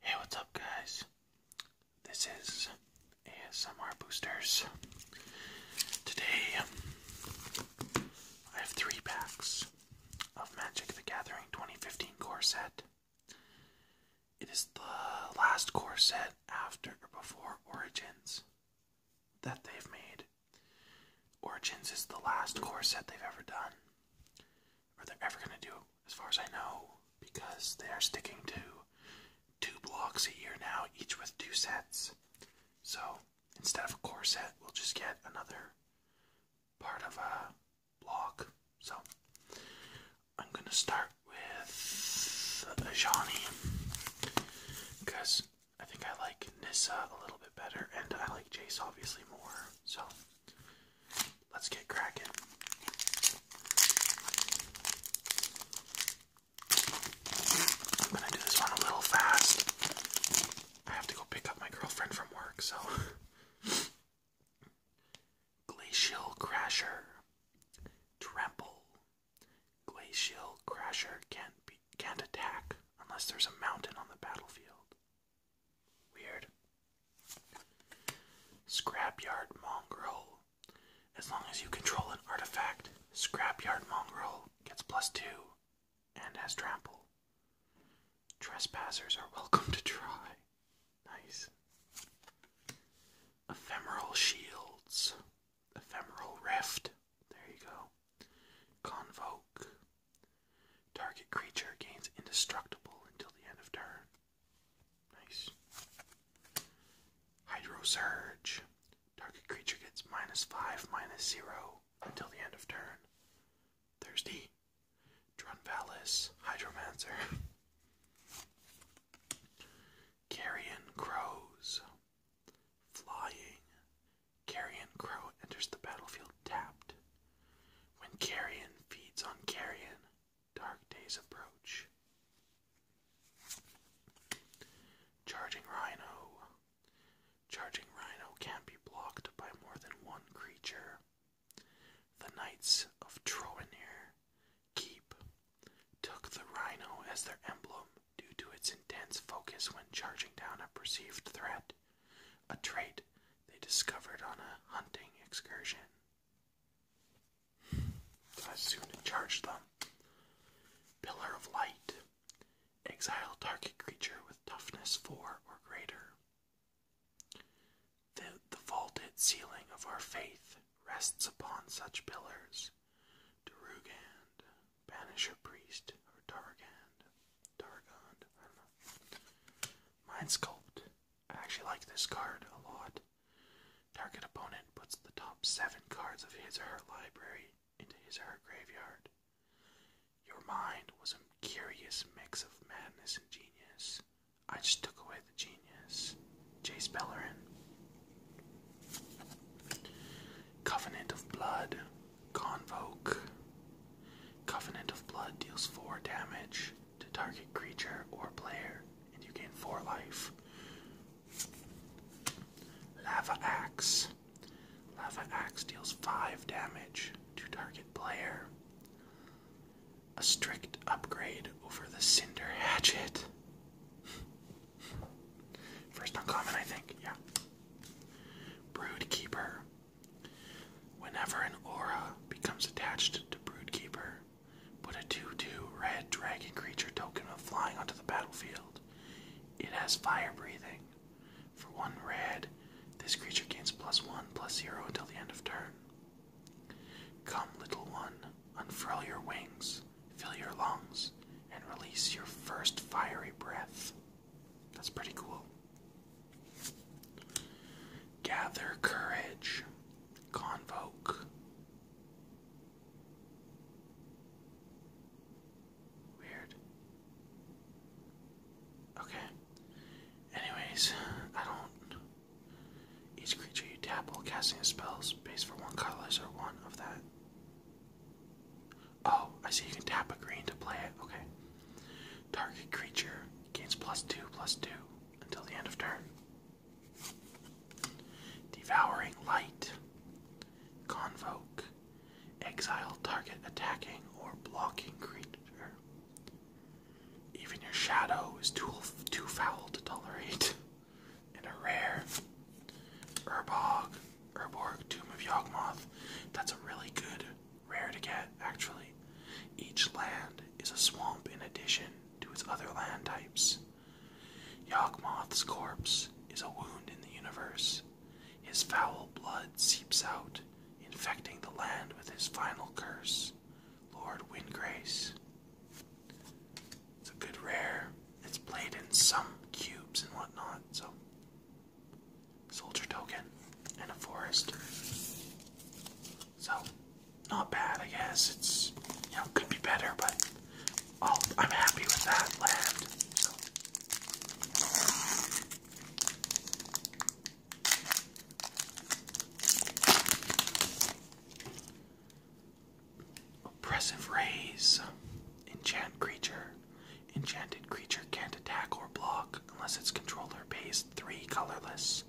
Hey, what's up, guys? This is ASMR Boosters. Today, I have three packs of Magic the Gathering 2015 core set. It is the last core set after or before Origins that they've made. Origins is the last core set they've ever done or they ever going to do, as far as I know, because they are sticking to two blocks a year now, each with two sets. So instead of a core set, we'll just get another part of a block. So I'm going to start with Ajani because I think I like Nissa a little bit better, and I like Jace obviously more. So let's get cracking. I'm gonna do this one a little fast. I have to go pick up my girlfriend from work, so. Glacial Crasher. Trample. Glacial Crasher can't be can't attack unless there's a mountain on the battlefield. Weird. Scrapyard Mongrel. As long as you control an artifact, Scrapyard Mongrel gets plus two and has trample. Trespassers are welcome to try. Nice. Ephemeral Shields. Ephemeral Rift. There you go. Convoke. Target creature gains indestructible until the end of turn. Nice. Hydro Surge. Target creature gets minus 5, minus 0 until the end of turn. Thirsty. Drunvalis. Hydromancer. Carrion Crows. Flying. Carrion Crow enters the battlefield tapped. When carrion feeds on carrion, dark days approach. Charging Rhino. Charging Rhino can be blocked by more than one creature. The Knights of Troanir Keep took the Rhino as their emblem due to its intense focus when charging down a perceived threat, a trait they discovered on a hunting excursion. I soon charged them. Pillar of Light. Exile target creature with toughness 4 or greater. The, the vaulted ceiling of our faith rests upon such pillars. Darugand, Banisher Priest, or Dargand. Dargon. I Mind Sculpt. I actually like this card a lot. Target opponent puts the top seven cards of his or her library into his or her graveyard. Your mind was a curious mix of madness and genius. I just took away the genius. Jace Bellerin. Covenant of Blood. Convoke. Covenant of Blood deals 4 damage to target creature or player, and you gain 4 life. Lava Axe. Lava Axe deals 5 damage to target player. A strict upgrade over the Cinder Hatchet. First uncommon, I think, yeah. Broodkeeper. Whenever an aura becomes attached to Broodkeeper, put a 2 2 red dragon creature token of flying onto the battlefield. It has fire breathing. For 1 red, this creature gains plus 1 plus 0 until the end of turn. Come, little one, unfurl your wings, fill your lungs, and release your first fiery breath. That's pretty cool. Gather courage, convoke. Weird. Okay. Anyways, I don't. Each creature you tap while casting a spell, space for one color or one of that. Oh, I see you can tap a green to play it. Okay. Target creature gains plus two, plus two until the end of turn. Devouring Light. Convoke. Exile target attacking or blocking creature. Even your shadow is too, too foul to tolerate. And a rare. Urbog. Urborg, Tomb of Yawgmoth. That's a really good rare to get, actually. Each land is a swamp in addition to its other land types. Yawgmoth's corpse is a wound in the universe. His foul blood seeps out, infecting the land with his final curse, Lord Windgrace. It's a good rare. It's played in some cubes and whatnot, so soldier token, in a forest. So, not bad, I guess. It's, you know, could be better, but i oh, I'm happy with that land. Oppressive rays, enchant creature. Enchanted creature can't attack or block unless its controller pays three colorless.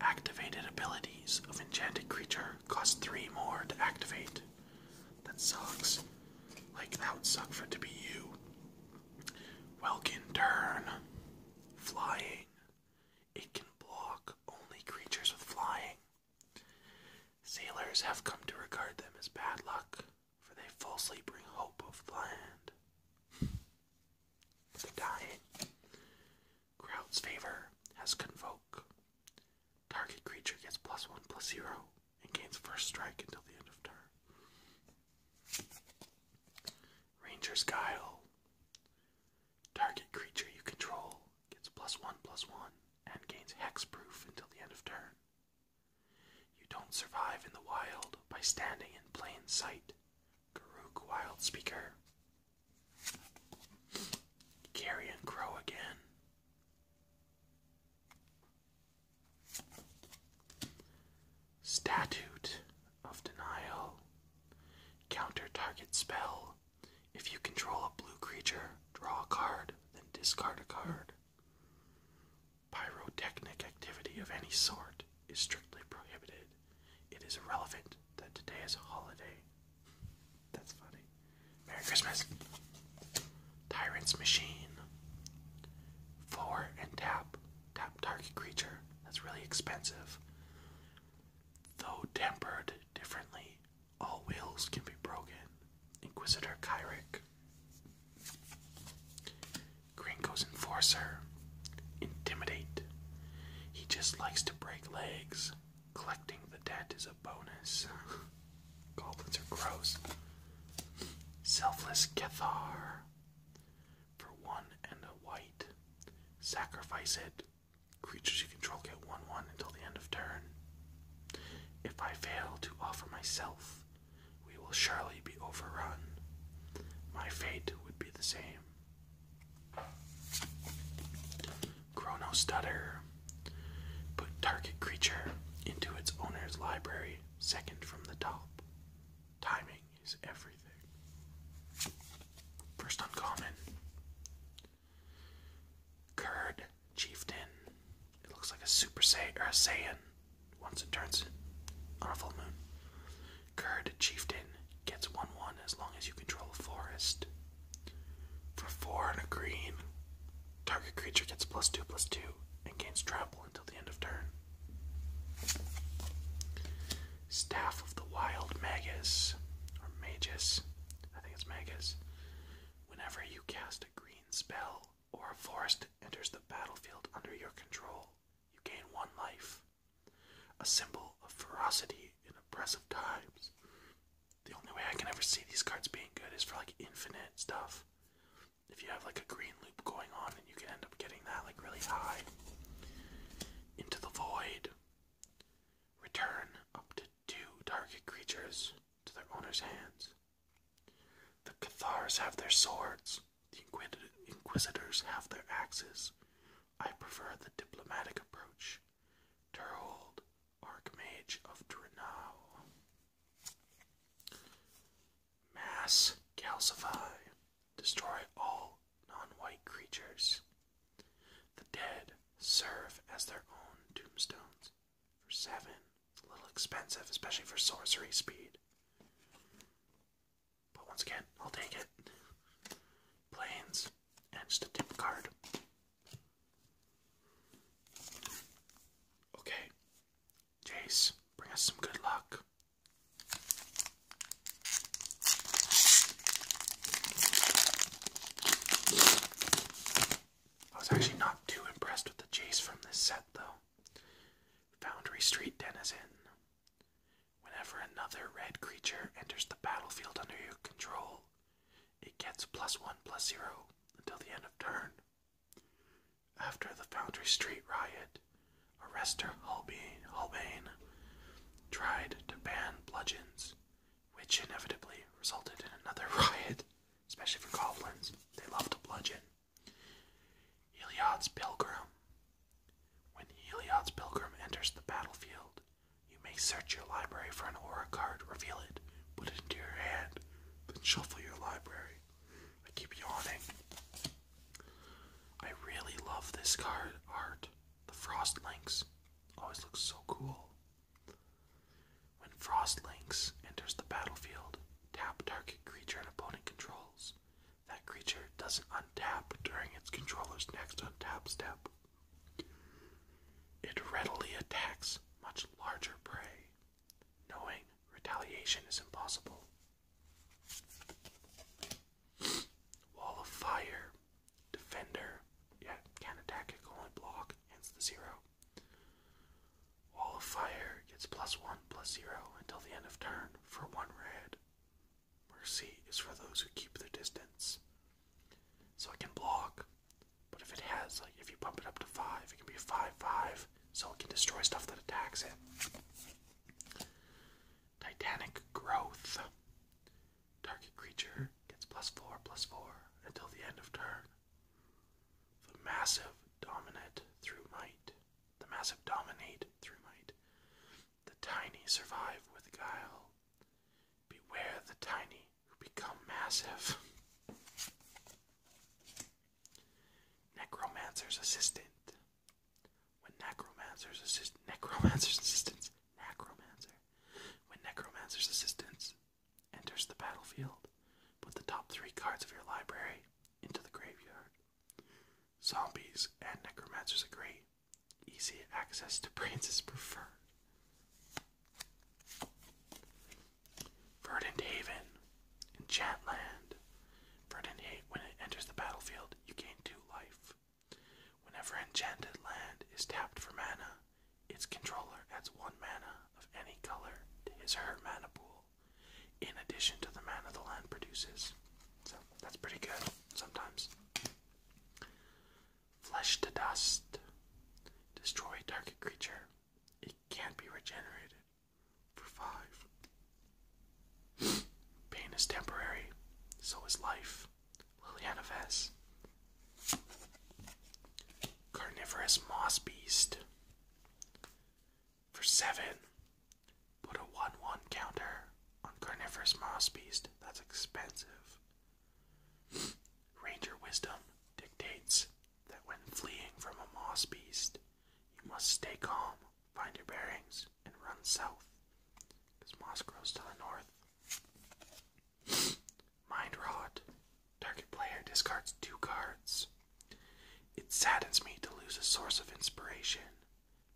Activated abilities of enchanted creature cost three more to activate. That sucks. Like, that would suck for it to be you. Welkin turn. Flying. It can block only creatures with flying. Sailors have come to regard them as bad luck for they falsely bring hope of the land. The dying. Crowd's favor has convoke. Target creature gets plus one plus zero and gains first strike until the end of turn. Ranger's Guile. Target creature you control gets plus one plus one and gains hexproof until the end of turn. You don't survive in the wild by standing in plain sight. Garuk Wild Speaker. Carrion Crow again. Statute of Denial. Counter target spell. If you control a blue creature, draw a card, then discard a card. Pyrotechnic activity of any sort is strictly prohibited. It is irrelevant that today is a holiday. That's funny. Merry Christmas. Tyrant's Machine. Four and tap. Tap target creature. That's really expensive. Though tempered differently, all wheels can be broken. Inquisitor Kyrick, Gringo's Enforcer, Intimidate. He just likes to break legs. Collecting the debt is a bonus. Goblins are gross. Selfless Cathar. For one and a white. Sacrifice it. Creatures you control get 1 1 until the end of turn. If I fail to offer myself we will surely be overrun. My fate would be the same. Chrono Stutter. Put target creature into its owner's library, second from the top. Timing is everything. First uncommon. Curd chieftain. It looks like a super Saiyan, or a Saiyan once it turns on a full moon. Curd chieftain gets 1 1 as long as you control a forest. For 4 and a green, target creature gets plus 2 plus 2 and gains trample until the end of turn. Staff of the Wild Magus, or Magus, I think it's Magus. Whenever you cast a green spell, or a forest enters the battlefield under your control, you gain one life. A symbol of ferocity in oppressive times. The only way I can ever see these cards being good is for like infinite stuff. If you have like a green loop going on and you can end up getting that like really high. Into the void. Return up to two target creatures to their owner's hands. The Cathars have their swords, the Inquisitors have their axes. I prefer the diplomatic approach. Turhold, Archmage of Drenau. Mass calcify. Destroy all non white creatures. The dead serve as their own tombstones. For seven it's a little expensive, especially for sorcery speed. But once again, I'll take it. Planes and just a tip card. Okay, Jace, bring us some good luck. I was actually not too impressed with the chase from this set, though. Foundry Street Denizen. Whenever another red creature enters the battlefield under your control, it gets plus one plus zero until the end of turn. After the Foundry Street riot, Arrestor Holbein, Holbein tried to ban bludgeons, which inevitably resulted in another riot especially for goblins. They love to bludgeon. Heliod's Pilgrim. When Heliod's Pilgrim enters the battlefield, you may search your library for an aura card, reveal it, put it into your hand, then shuffle your library. I keep yawning. I really love this card art. The Frost Links always looks so cool. When Frostlinx enters the battlefield, tap target creature an opponent controls. That creature doesn't untap during its controller's next untap step. It readily attacks much larger prey, knowing retaliation is impossible. Wall of Fire. Defender. Yeah, can attack, it block, hence the zero. Wall of Fire gets plus one, plus zero until the end of turn for one red. Mercy is for those who keep their distance. So it can block, but if it has, like, if you bump it up to five, it can be five five, so it can destroy stuff that attacks it. Titanic Growth. Target creature gets plus four, plus four until the end of turn. The massive dominate through might. The massive dominate through might. The tiny survive with guile. Beware the tiny who become massive. Necromancer's assistant. When necromancer's assist necromancer's assistants necromancer. When necromancer's assistants enters the battlefield. Put the top three cards of your library into the graveyard. Zombies and necromancers agree. Easy access to brains is preferred. Verdant Haven, Enchantland. Verdant Haven, when it enters the battlefield, you gain two life. Whenever Enchanted Land is tapped for mana, its controller adds one mana of any color to his or her mana pool, in addition to the mana the land produces. So that's pretty good sometimes. Flesh to dust. Destroy target creature. It can't be regenerated. For five. Pain is temporary, so is life. Liliana Vess. Carnivorous Moss Beast. For 7, put a 1 1 counter on Carnivorous Moss Beast. That's expensive. Ranger Wisdom dictates that when fleeing from a Moss Beast, you must stay calm, find your bearings, and run south, because Moss grows to the north. Mind Rot. Target player discards two cards. It saddens me to lose a source of inspiration.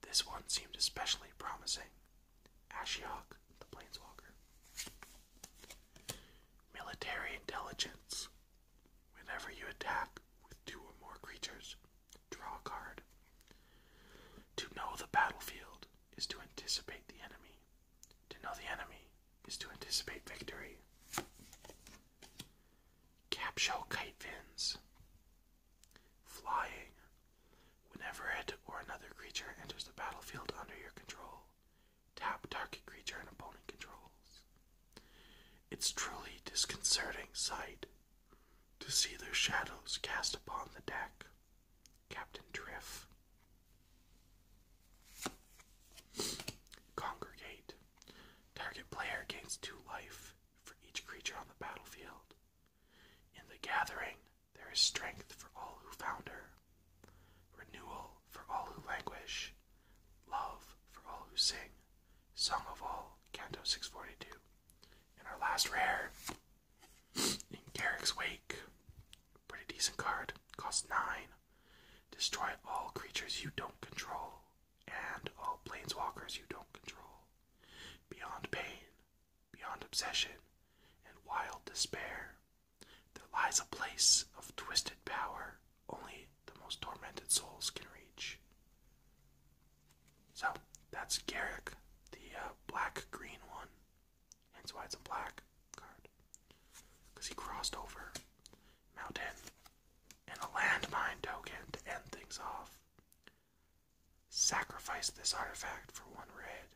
This one seemed especially promising. Ashiok, the Planeswalker. Military Intelligence. Whenever you attack with two or more creatures, draw a card. To know the battlefield is to anticipate the enemy to know the enemy is to anticipate victory. Capshell kite fins. Flying. Whenever it or another creature enters the battlefield under your control, tap target creature an opponent controls. It's truly disconcerting sight to see their shadows cast upon the deck. Captain Triff. Congregate. Target player gains two life for each creature on the battlefield. In the gathering, there is strength for all who found her, renewal for all who languish, love for all who sing. Song of All, Canto 642. And our last rare, in Garrick's Wake, Pretty decent card. Costs 9. Destroy all creatures you don't control and all planeswalkers you don't control. Beyond pain, beyond obsession, and wild despair, there lies a place of twisted power only the most tormented souls can reach. So that's Garrick, the uh, black green one. Hence why it's a black card. Because he crossed over Mountain and a landmine token to end things off. Sacrifice this artifact for one red.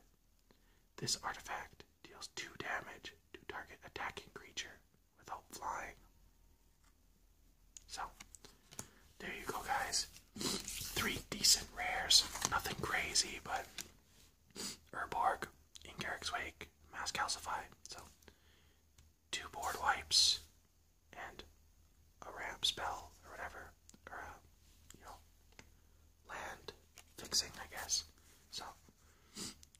This artifact deals two damage to target attacking creature without flying. So, there you go, guys. Three decent rares. Nothing crazy, but Urborg, in Garrick's Wake, Mass Calcify. So, two board wipes and a ramp spell or whatever, or a, uh, you know, land fixing, I guess. So,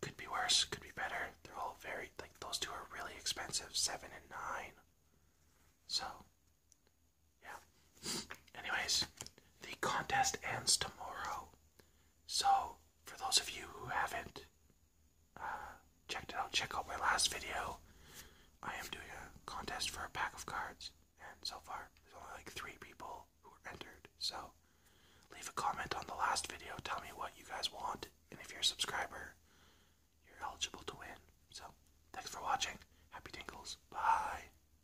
could be worse, could be better. They're all very, like, those two are really expensive, seven and nine. So, yeah. Anyways, the contest ends tomorrow. So, for those of you who haven't uh, checked it out, check out my last video. I am doing a contest for a pack of cards, and so far, there's only like three people who are entered. So, leave a comment on the last video, tell me what you guys want, and if you're a subscriber, you're eligible to win. So, thanks for watching. Happy tinkles. Bye.